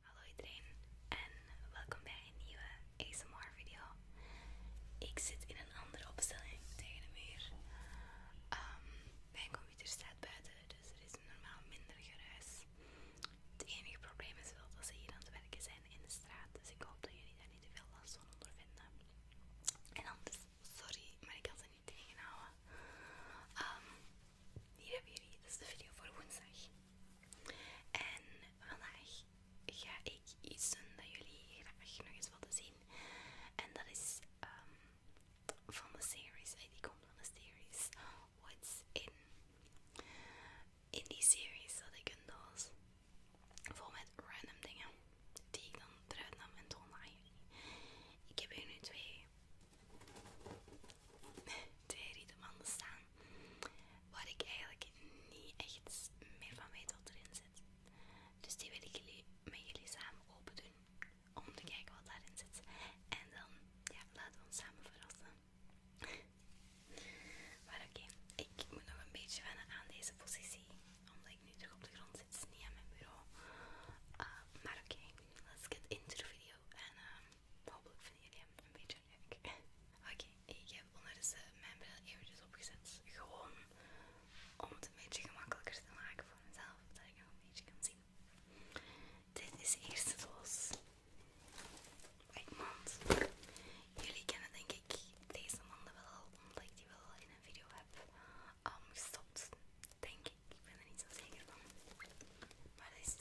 Hallo iedereen en welkom bij een nieuwe ASMR video. Ik zit in een andere opstelling tegen de muur. Ehm, mijn computer staat buiten, dus er is normaal minder geruis. Het enige probleem is wel dat ze hier aan het werken zijn in de straat, dus ik hoop dat jullie daar niet te veel last van ondervinden. En anders, sorry, maar ik had ze niet tegenhouden. Ehm, hier hebben jullie, dat is de video voor woensdag. En vandaag ga ik iets doen dat jullie graag nog eens willen zien. En dat is ehm, van de series, eh, die komt van de series What's In. In die series had ik een doos vol met random dingen die ik dan eruit nam en toonde aan jullie. Ik heb hier nu twee twee rietemannen staan waar ik eigenlijk niet echt meer van weet wat erin zit. Dus die wil ik met jullie samen open doen om te kijken wat daarin zit. En dan ja, laten we ons samen verrassen. maar oké, ik moet nog een beetje wennen aan deze positie omdat ik nu terug op de grond zit, niet aan mijn bureau. Ah, maar oké, let's get into the video en ehm, hopelijk vinden jullie hem een beetje leuk. Oké, ik heb ondertussen mijn bril eventjes opgezet. Gewoon om het een beetje gemakkelijker te maken voor mezelf, dat ik hem een beetje kan zien. Dit is de eerste doos. Mand. Jullie kennen denk ik deze mannen wel, omdat ik die wel in een video heb ehm, gestopt. Denk ik, ik ben er niet zo zeker van maar deze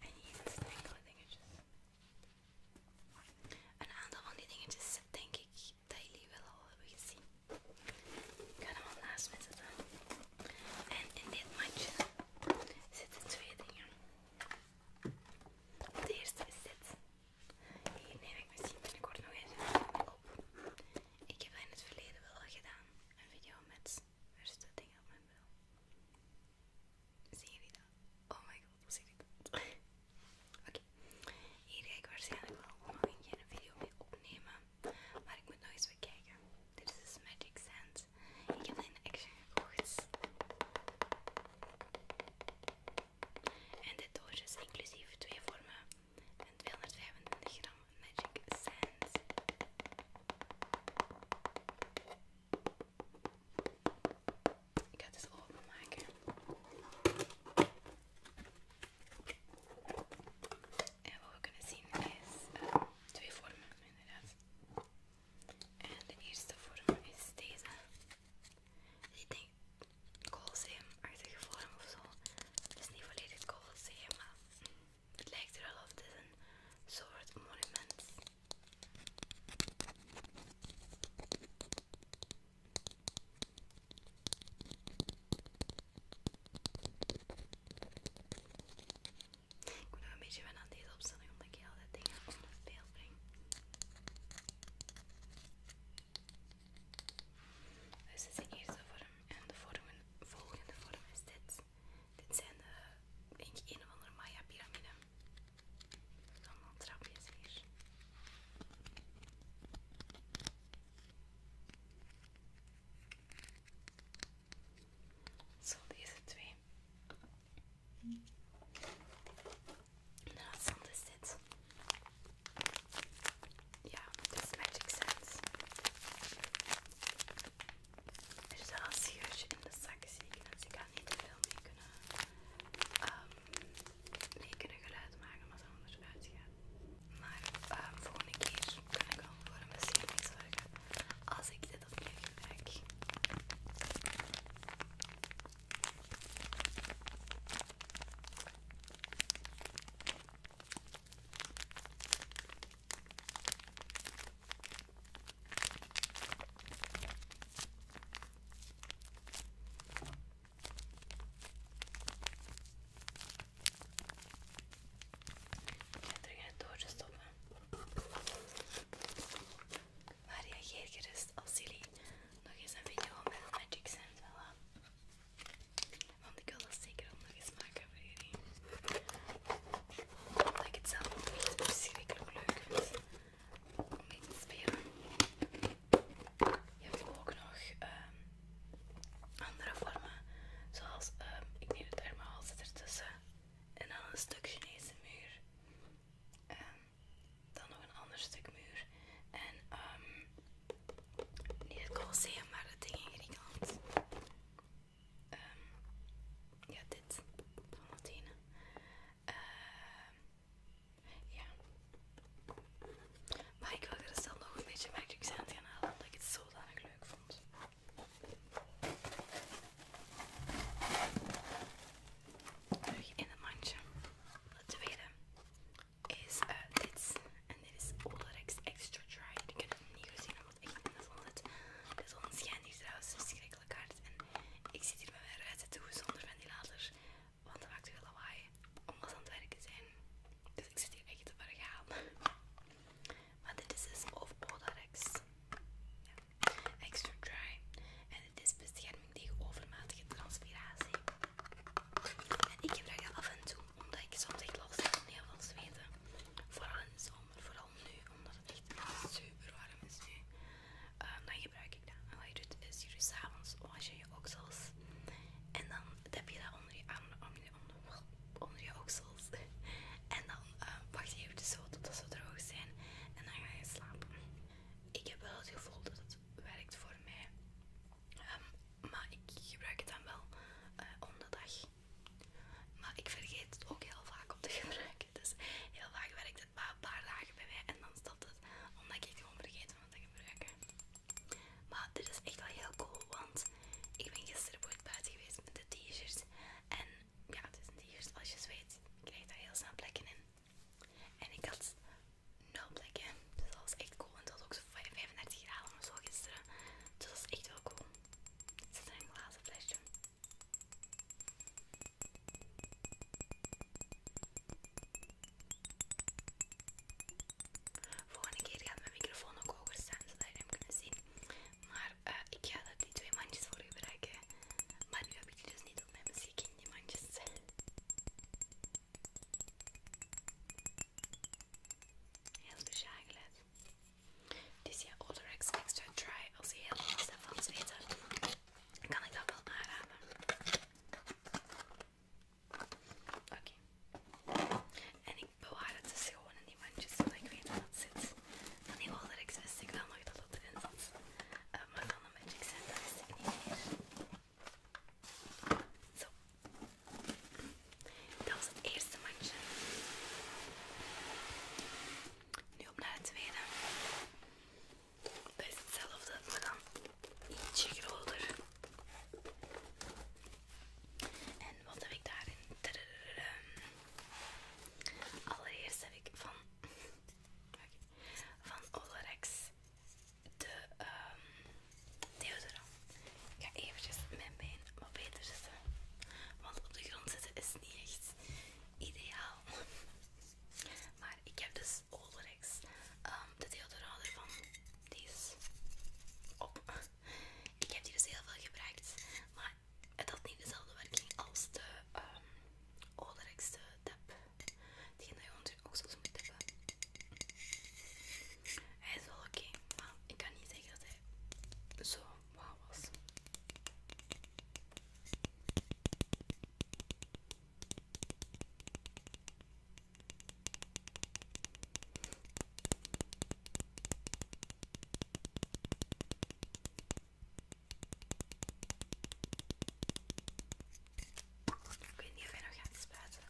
En hier is enkele dingetjes. Een aantal van die dingetjes denk ik dat jullie wel al hebben gezien. ga dan wel naast me zitten. En in dit mandje zitten twee dingen. De eerste is dit. Hier neem ik misschien binnenkort nog eens een op. Ik heb in het verleden wel gedaan. Een video met... Waar zit dat op mijn Zie Zie jullie dat? Oh my god, hoe zie je dat? Oké. Hier ga ik waarschijnlijk wel nog een keer een video mee opnemen. Maar ik moet nog eens kijken. Dit is dus Magic Sand. Ik heb dat in de Action gekocht. En dit doosje is inclusief twee vormen en 225 gram Magic Sands. Ik ga het eens openmaken. En wat we kunnen zien is eh, twee vormen, inderdaad. En de eerste vorm is deze. Die denk Koolzeum-artige vorm of zo. Het is niet volledig Coliseum, maar het lijkt er wel op. Het een soort monument. Ik moet nog een beetje wennen aan deze opstelling omdat ik heel veel dingen onder beeld breng. Dus dit is de eerste vorm. En de vormen, volgende vorm is dit. Dit zijn eh, de, een of andere Maya piramide. Allemaal trapjes hier. Zo, deze twee. En de laatste is dit. Ja, dit is Magic Sense. Er is wel een scheurtje in de zak, zie ik. Dus ik ga niet te veel mee kunnen, um, kunnen geluid maken, omdat het anders uitgaat. Maar um, volgende keer kan ik al voor een bescherming zorgen als ik dit opnieuw gebruik terug in het doosje stoppen. Maar reageer gerust als jullie nog eens een video met Magic Sand willen. Want ik wil dat zeker ook nog eens maken voor jullie. Omdat ik het zelf ook echt verschrikkelijk leuk vind om mee te spelen. Je hebt ook nog ehm, andere vormen, zoals ehm, ik neem het armhaal zit ertussen en dan een stuk Chinese muur. Ehm, dan nog een ander stuk muur en um, niet het Colosseum, maar het ding in Griekenland. Um, ehm, ja, dit. Van Athene. Uh, ja. Maar ik wil er zelf dus nog een beetje Magic Sand gaan halen, omdat ik het zodanig leuk vond. Terug in het mandje. dat tweede is uh, dit. En dit is Olerex Extra Dry. Ik heb het niet gezien omdat ik in de zon zit. De zon schijnt hier trouwens verschrikkelijk hard. En ik zit hier met mijn de toe zonder ventilator. Want dat maakt veel lawaai. om ons aan het werken zijn. Dus ik zit hier echt te vergaan. Maar dit is dus of Olerex. Ja. Extra Dry. En dit is bescherming tegen overmatige transpiratie. En ik gebruik dat af en toe, omdat ik soms echt last heb van heel zweten. Vooral in de zomer, vooral nu, omdat het echt super warm is nu. Ehm, dan gebruik ik dat. En wat je doet, is je doet s'avonds was je je oksels. En dan heb je dat onder je onder je, onder, je oksels. En dan ehm, wacht je even zo totdat ze droog zijn. En dan ga je slapen. Ik heb wel het gevoel dat het werkt voor mij. Ehm, maar ik gebruik het dan wel eh, onderdag, dag. Maar ik vergeet het ook heel vaak om te gebruiken. Dus heel vaak werkt het maar een paar dagen bij mij en dan stopt het. Omdat ik het gewoon vergeet om het te gebruiken. Maar dit is echt wel heel cool. Want ik ben gisteren ooit buiten geweest met de t-shirt. En ja, het is een t-shirt. Als je zweet, krijg je daar heel snel plekken in. En ik had nul plekken. Dus dat was echt cool. En dat was ook zo 35 graden of zo gisteren. Dus dat was echt wel cool. Zit er een glazen flesje. Volgende keer gaat mijn microfoon ook hoger staan zodat je hem kunnen zien. Maar eh, ik ga dat die twee mandjes voor gebruiken. Maar nu heb ik die dus niet op mijn in die mandjes. Heel bezagelijk. Het is ja Odorex Extra Dry. Als je heel veel daarvan weten, kan ik dat wel aanraden. Oké. En ik bewaar het dus gewoon in die mandjes, zodat ik weet dat het zit. Van die Odorex wist ik wel nog dat het erin zat. Eh, maar van de Magic center dat wist ik niet meer. Zo. Dat was het eerste mandje. Nu op naar het tweede. Dat is hetzelfde, maar dan ietsje groter. En wat heb ik daarin? Allereerst heb ik van, okay, van Allerex de um, deodorant. Ik ga eventjes mijn been wat beter zetten. Want op de grond zitten is niet echt ideaal. Maar ik heb dus Olerex, ehm, de deodorant van deze. op. Ik heb die dus heel veel gebruikt. Maar het had niet dezelfde werking als de um, de tap. Die dat je ook zo Hij is wel oké, okay, maar ik kan niet zeggen dat hij zo wauw was. Ik weet niet of hij nog gaat spuiten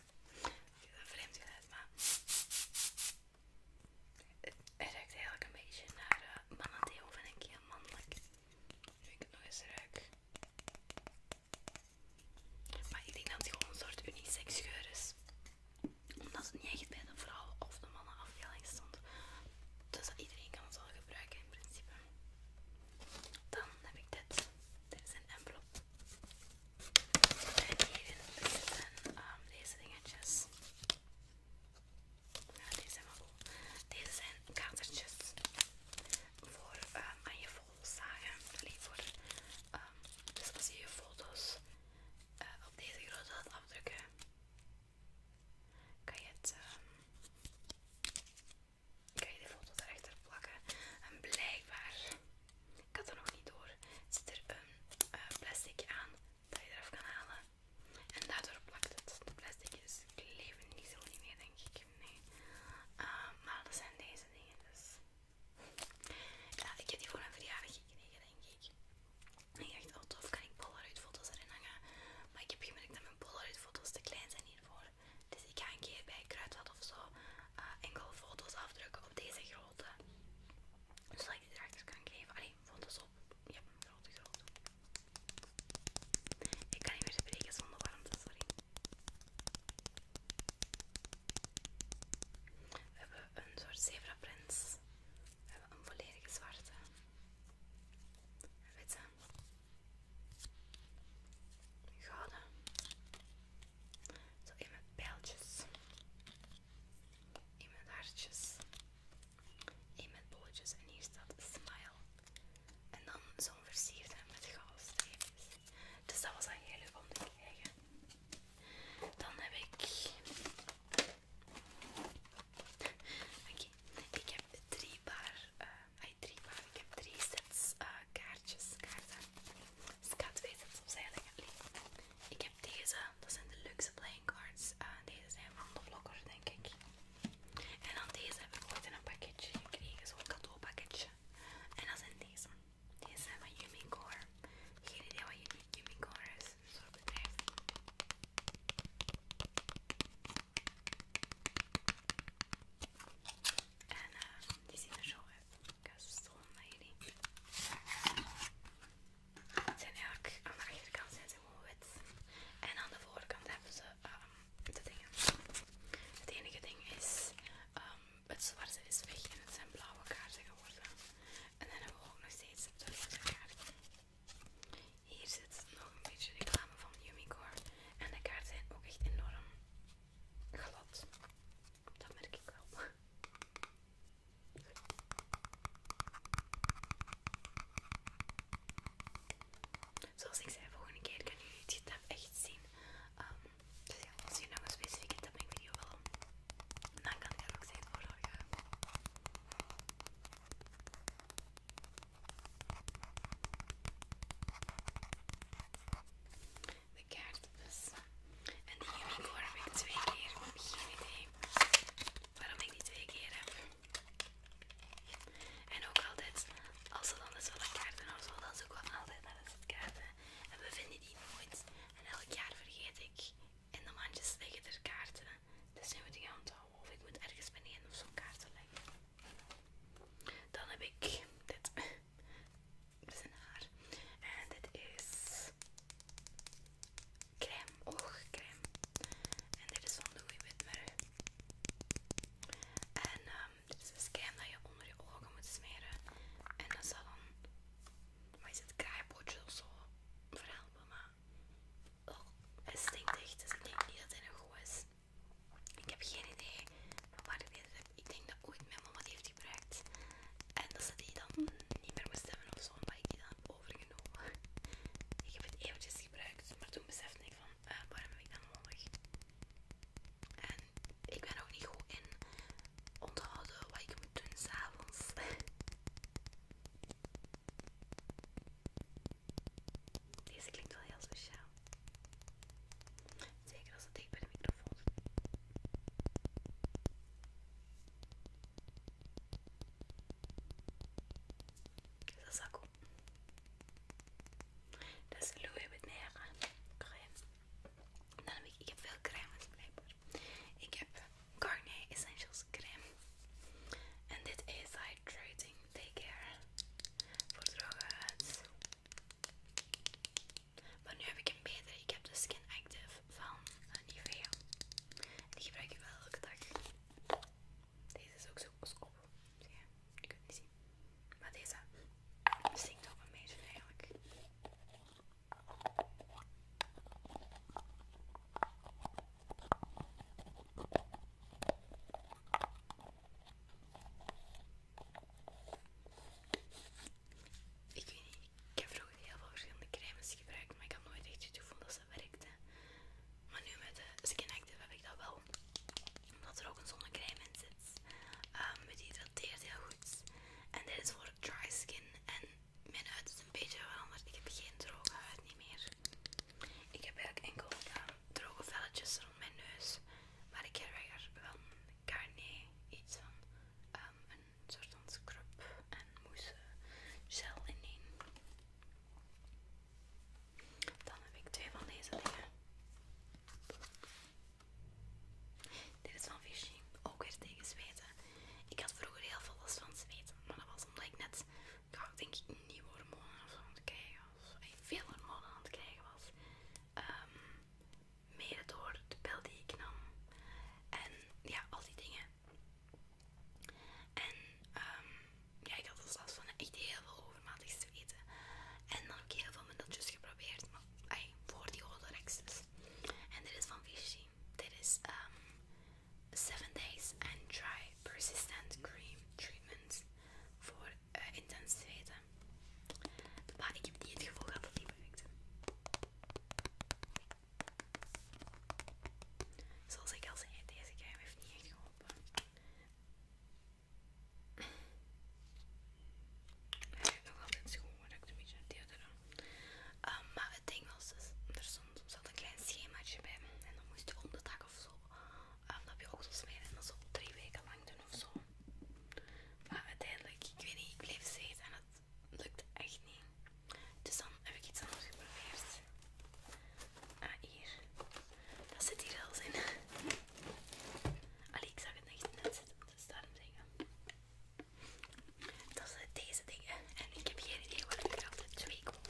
een vreemd geluid, maar het ruikt eigenlijk een beetje naar uh, eh, manadeel, vind ik heel mannelijk. Nu ik het nog eens ruik. Maar ik denk dat het gewoon een soort unisex geur is. Omdat het niet echt bij de vrouwen of de mannen afdeling stond. Dus dat iedereen kan het wel gebruiken in principe. Dan heb ik dit. Dit is een envelop. En hierin zitten deze dingetjes. Ja, deze zijn wel Deze zijn katertjes voor aan je foto's zagen. dus als je je foto's op deze grote laat afdrukken, kan je het ehm, kan je de foto daarachter plakken? En blijkbaar, ik had er nog niet door, zit er een eh, plastic aan dat je eraf kan halen. En daardoor plakt het de plastic, kleven niet zo niet meer, denk ik. Nee. Ah, maar dat zijn deze dingen dus. Ja, ik heb die voor een verjaardag gekregen, denk ik. En echt dacht, oh, tof, kan ik Polaroid foto's erin hangen? Maar ik heb gemerkt dat mijn Polaroid te klein zijn hiervoor. Dus ik ga een keer bij Kruidvat of zo eh, enkel foto's afdrukken op deze grote. Zodat ik die erachter kan geven. Allee, foto's op. Ja, grote, grote. Ik kan niet meer spreken zonder warmte, sorry. We hebben een soort prints. We hebben een volledige zwarte. witte gouden. Zo in met pijltjes. In met hartjes. In met bolletjes. En hier staat smile. En dan zo'n versierde met gouden Dus dat was al heel leuk om te krijgen. Dan heb ik... Oké, ik heb drie paar eh, ik heb drie sets eh, kaartjes, kaarten. Dus ik ga twee sets opzij leggen. Ik heb deze, dat zijn de luxe playing cards. Eh, deze zijn van de vloggers, denk ik. En dan deze heb ik ooit in een pakketje gekregen, zo'n cadeaupakketje. En dan zijn deze. Deze zijn van Umicore. Geen idee wat Umicore is, zo'n dus en eh, die zien er zo uit. ga ze stonden hierin. Het zijn eigenlijk, aan de achterkant zijn ze gewoon wit. En aan de voorkant hebben ze ehm, de dingen. Het enige ding is, ehm, het zwarte is weg en het zijn blauwe kaarten geworden. En dan hebben we ook nog steeds de rode kaart. Hier zit nog een beetje reclame van Umicore. En de kaarten zijn ook echt enorm glad. Dat merk ik wel. Zoals ik zei, volgende keer kan jullie het getab echt zien. Ehm, dus ja, als je nog een specifieke tapping video wel dan kan ik er ook zijn voor zorgen de kaarten dus. En die unicorn heb ik twee keer. Geen idee waarom ik die twee keer heb. En ook altijd, als er dan dus wel kaarten of zo, dan ook wel altijd naar de kaarten. En we vinden die nooit. En elk jaar vergeet ik. In de mandjes liggen er kaarten. Dus nu moet ik gaan houden. Of ik moet ergens beneden of zo'n kaarten leggen. Dan heb ik dit. Dit is een haar. En dit is crème, oogcrème. En dit is van Louis Whitmer. En ehm, dit is een crème dat je onder je ogen moet smeren. En dat zal dan, wat is het, kraaienpootje of zo verhelpen. Maar oh, het stinkt echt, dus ik denk niet dat het nog goed is. Ik heb geen idee van waar ik deze heb. Ik denk dat ooit mijn mama die heeft gebruikt. En dat ze die dan niet meer moest hebben of zo, maar ik die dan overgenomen. Ik heb het eventjes gebruikt, maar toen besefte ik van eh, waarom heb ik dat nodig? En ik ben ook niet goed in onthouden wat ik moet doen s'avonds. Deze klinkt wel heel speciaal. Zeker als het tegen bij de microfoon dat Is dat zakko? Dat is Louis Vuitton eh, crème. Dan heb ik, ik heb veel crèmes blijkbaar. Ik heb eh, Garnier Essentials crème. En dit is Hydrating Take Care voor droge huid. Maar nu heb ik een betere. Ik heb de Skin Active van Nivea. Die gebruik ik wel elke dag. Deze is ook zo op. Zie je? ik kunt niet zien. Maar deze stinkt ook een beetje eigenlijk. Ik weet niet, ik heb vroeger heel veel verschillende crèmes gebruikt, maar ik had nooit echt van dat ze werkte. Maar nu met de Skin Active heb ik dat wel, omdat er ook een zonnecrème in zit. Ehm, die het hydrateert heel goed. En dit is voor dry skin en mijn huid is een beetje veranderd. Ik heb geen droge huid niet meer. Ik heb eigenlijk enkel aan ehm, droge velletjes rond mijn neus. Maar ik heb er wel een carnet, iets van ehm, een soort van scrub en mousse gel in één. Dan heb ik twee van deze dingen. Dit is van Vichy, ook weer tegen zweten. Ik had vroeger heel veel last van zweten, maar dat was omdat ik net, denk ik, nieuwe hormonen aan het krijgen was. Veel hormonen aan het krijgen was. ehm mede door de pil die ik nam en ja, al die dingen. En ehm, ja, ik had al last van echt heel veel overmatig weten En dan heb ik heel veel middeltjes geprobeerd, maar voor die Holorex dus. En dit is van Vichy. Dit is um, ehm, 7 Days and Dry Persistent Cream Treatment voor uh, intens zweten. Maar ik heb niet het gevoel hebben. dat die Zoals ik al zei, deze keer heeft niet echt geholpen. Hij heeft nog altijd schoon, maar ik een beetje naar deodorant. Eh, maar het ding was dus, er stond soms een klein schemaatje bij en dan moest je om de dag of zo um, ah, dat je ook zo smeren en dat zo drie weken lang doen of zo. Maar uiteindelijk, ik weet niet, ik bleef zitten en het lukt echt niet. Dus dan heb ik iets anders geprobeerd. Ah, hier. Dat zit hier wel in. Allee, ik zag het niet net zitten, dus daarom zeggen. Dat zijn deze dingen. En ik heb hier idee waar ik de altijd twee komt.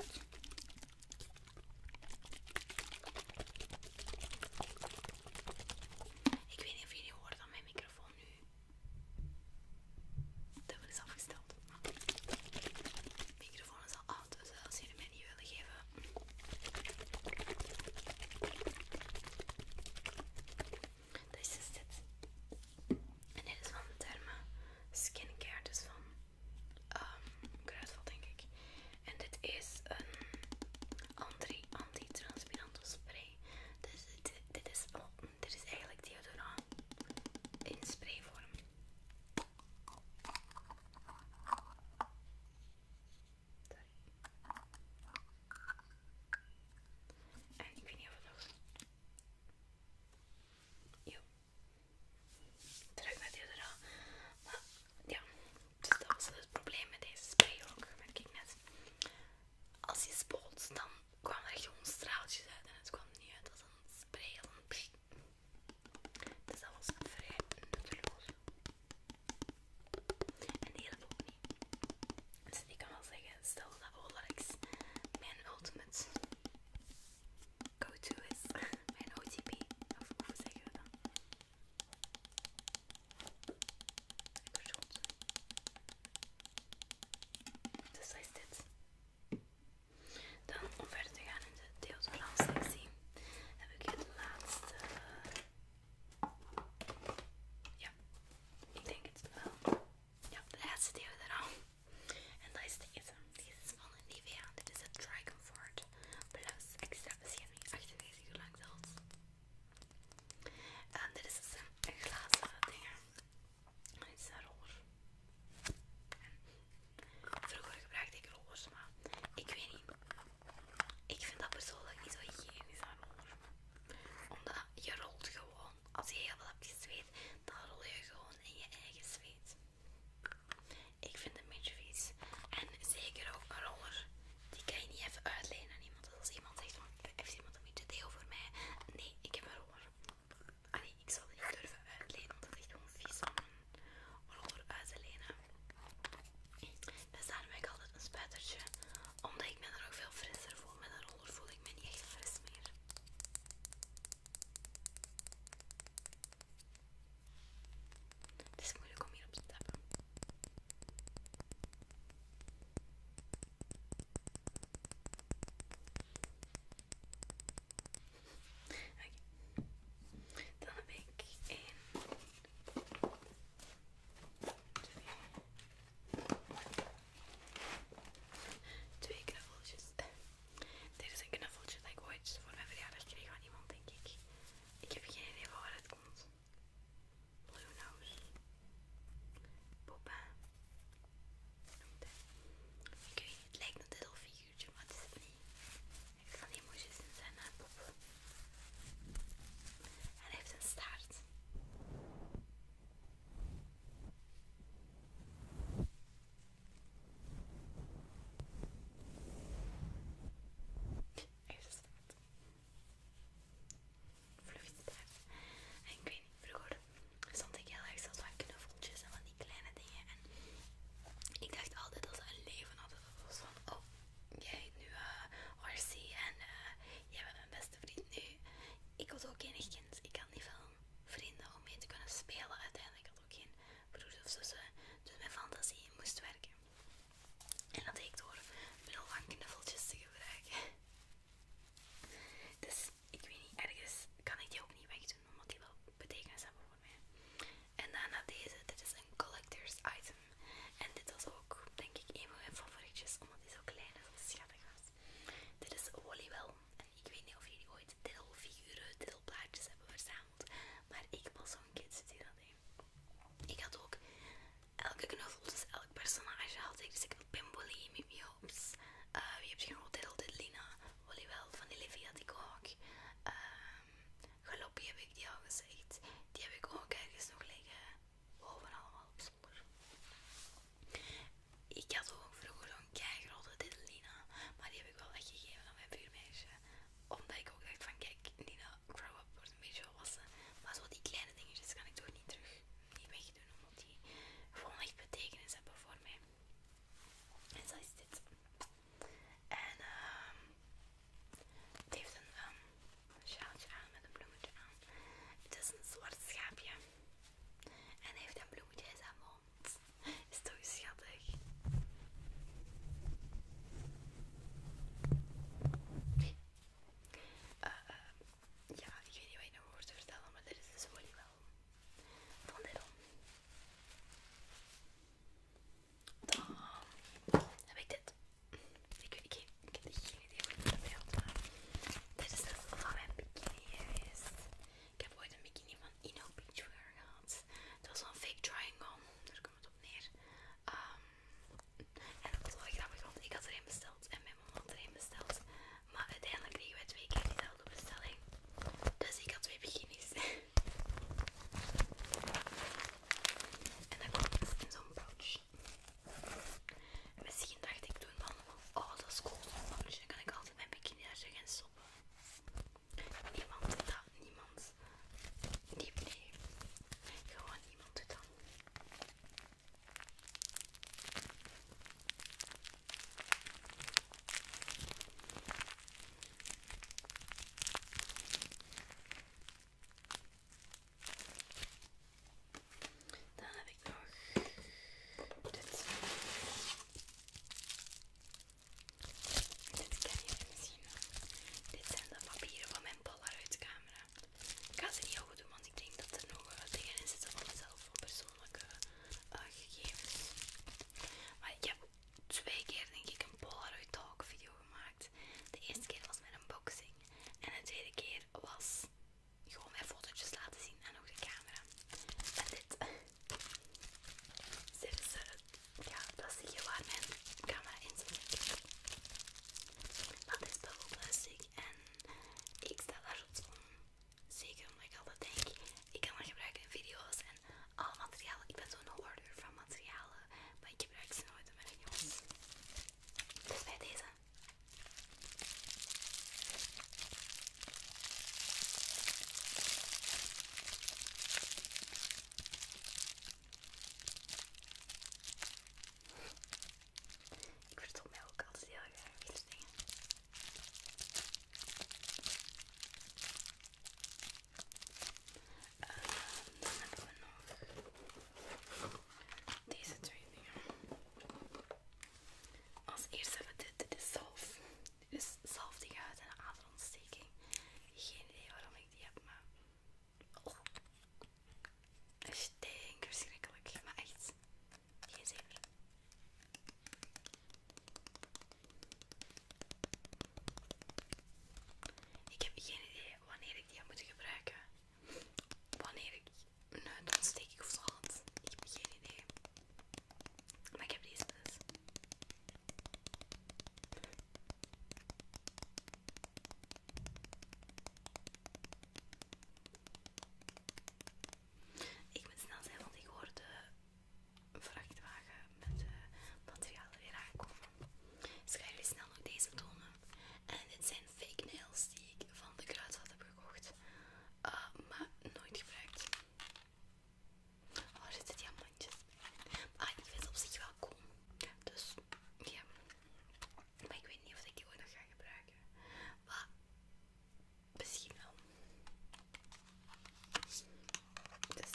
Ik weet niet of jullie horen dat mijn microfoon nu Dat is afgesteld. microfoon is al oud, dus eh, als jullie mij niet willen geven. Dat is dus dit. En dit is van de Derma Skincare, dus van um, Kruidvat denk ik. En dit is een anti antitranspirante spray. Dus dit, dit, is, oh, eigenlijk deodorant in sprayvorm. En ik weet niet of het nog... Jo. Terug naar deodorant. Maar ja, dus dat was het probleem met deze spray ook, merk ik net. Als je spoelt, dan kwamen er gewoon straaltjes uit en het kwam niet uit als een spray. Als een dus dat was vrij nutteloos. En die hele niet. Dus ik kan wel zeggen, stel dat Olarex mijn ultimate go-to is, mijn OTP, of hoe zeggen we Goed. Dus dat is dit. Dan om verder te gaan in de deodorant heb ik het laatste. Ja, ik denk het wel. Ja, de laatste deodorant. En dat is deze. Deze is van Nivea. Dit is het Dry Comfort Plus Extra Bescherming 98 uur lang zelfs. En dit is dus een, glazen dingen En dit is een roller. vroeger gebruikte ik rollers, maar ik weet niet. Ik vind dat persoonlijk niet zo hygiënisch aan rollers. Omdat je rolt gewoon. Als je heel veel hebt gezweet, dan rol je gewoon in je eigen zweet. Ik vind het een beetje vies. En zeker ook een roller die kan je niet even uitlenen aan iemand. als iemand zegt van, heeft iemand een beetje deo voor mij? Nee, ik heb een roller. Ah nee, ik zal die niet durven uitlenen, want het is gewoon vies om een roller uit te lenen. Dus staan heb ik altijd een spuitertje. Omdat ik me dan ook veel frisser voel. Met een roller voel ik me niet echt fris meer. Het is moeilijk om hierop te tappen. Oké. Dan heb ik één, twee, twee knuffeltjes. Dit is een knuffeltje dat ik ooit voor mijn verjaardag kreeg van iemand, denk ik. Ik heb geen idee van waar het komt. Blue Nose. Poppen. Noemde. Ik weet het lijkt een little figuurtje, maar het is het niet. Ik heeft van die moesjes in zijn pop. En hij heeft een staart. Hij heeft een staart ik weet niet, vroeger stond ik heel erg zelfs van knuffeltjes en van die kleine dingen. En ik dacht altijd als een leven hadden. was van, oh, jij nu uh, RC uh, en jij bent mijn beste vriend nu. Ik was ook geen kind. Ik had niet veel vrienden om mee te kunnen spelen uiteindelijk. had Ik ook geen broer of zussen. Dus mijn fantasie moest werken. En dat deed ik door middel van knuffeltjes te gebruiken. Dus ik weet niet, ergens kan ik die ook niet wegdoen, omdat die wel betekenis hebben voor mij. En daarna deze, dit is een collector's item. En dit was ook, denk ik, een van mijn favorietjes, omdat die zo klein en schattig was. Dit is Wallywell. En ik weet niet of jullie ooit deelfiguren, deelplaatjes hebben verzameld, maar ik was zo'n kid die dat ik had ook elke knuffel, dus elk personage had ik. Dus ik had Bimboli, Mimi Hops, uh, eh, wie heb je nog? Diddle Lina. Wallywell, van Olivia die ik ook. Uh, heb ik die al gezegd. Die heb ik ook ergens nog liggen. overal allemaal op zolder. Ik had ook vroeger een zo'n grote Lina, maar die heb ik wel weggegeven aan mijn viermeisje Omdat ik ook dacht van kijk, Nina, grow up wordt een beetje volwassen. Maar zo die kleine dingetjes kan ik toch niet terug niet wegdoen, omdat die gewoon echt betekenis hebben voor mij. En zo is dit. En ehm het heeft een um, sjaaltje aan met een bloemetje aan. Het is een zwart schaapje. En hij heeft een bloemetje in zijn mond. Is toch schattig? Uh, ja, ik weet niet wat je nog hoort te vertellen, maar dit is dus gewoon wel van dit om. Dan heb ik dit. Ik, ik, ik, ik heb geen idee hoe ik dat beeld dit is dus van mijn bikini Ik heb ooit een bikini van Ino Beachwear gehad. Het was een fake triangle op neer. Ehm, en dat was wel grappig, want ik had er één besteld en mijn mama had er één besteld. Maar uiteindelijk kregen wij twee keer dezelfde bestelling. Dus ik had twee beginners. en dan komt het dus in zo'n pouch. misschien dacht ik toen van, oh dat is cool zo'n dan kan ik altijd mijn bikini daar gaan stoppen. Niemand want dat niemand. Nee, nee. Gewoon niemand het dan Dan heb ik nog dit. Dit kan je misschien dit zijn de papieren van mijn Polaroid camera. Ik ga ze niet goed doen, want ik denk dat er nog dingen in zitten van mezelf, voor persoonlijke eh, gegevens. Maar ik heb twee keer denk ik een Polaroid talk video gemaakt. De eerste keer was met een boxing en de tweede keer was gewoon mijn fotootjes laten zien en ook de camera. En dit, Zit er ja, dat zie je waar mijn camera in zit. Dat is bubbelplastic en ik sta daar zo zeker omdat ik altijd denk, ik kan dat gebruiken in video's en al materialen. Ik ben zo'n hoarder van materialen, maar ik gebruik ze nooit in mijn video's. Dus bij deze. Ik vertel mij ook altijd heel erg aan deze dingen. Ehm, dan hebben we nog deze twee dingen. Als eerste hebben we dit. Dit is zalf. Dit is zalf die gaat een aderontsteking. Geen idee waarom ik die heb, maar Oh. Het stinkt verschrikkelijk, maar echt. Geen zever. Ik heb geen idee wanneer ik die had moeten gebruiken. Wanneer ik een ontsteking of zo had. Ik heb geen idee. Maar ik heb deze dus. Ik moet snel zijn, want ik hoor de vrachtwagen met de materialen weer aankomen. Dus ik ga jullie snel nog deze tonen. En dit zijn fake nails die ik van de kruidvat heb gekocht, eh, maar nooit gebruikt. Oh, er zitten diamantjes maar ah, ik vind op zich wel cool. Dus ja. Maar ik weet niet of ik die ook nog ga gebruiken. Maar misschien wel. Dus.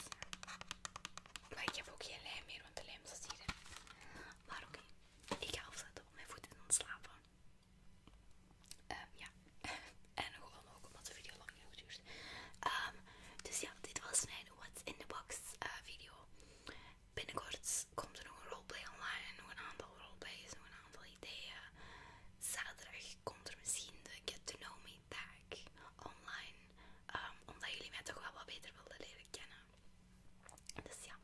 Maar ik heb ook geen lijm meer, want de lijm is hier. Maar oké, ik ga afzetten op mijn voeten en dan slapen. Ehm, ja. en gewoon ook omdat de video lang genoeg duurt. Ehm, dus ja, dit was mijn What's in the Box eh, video. Binnenkort komt er nog een roleplay online en nog een aantal roleplays, nog een aantal ideeën. Zaterdag komt er misschien de Get to Know Me dag online, ehm, omdat jullie mij toch wel wat beter wilden leren kennen. Dus ja,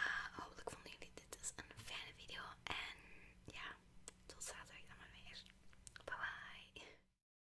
eh, hopelijk vonden jullie dit dus een fijne video en ja, tot zaterdag dan maar weer. Bye bye!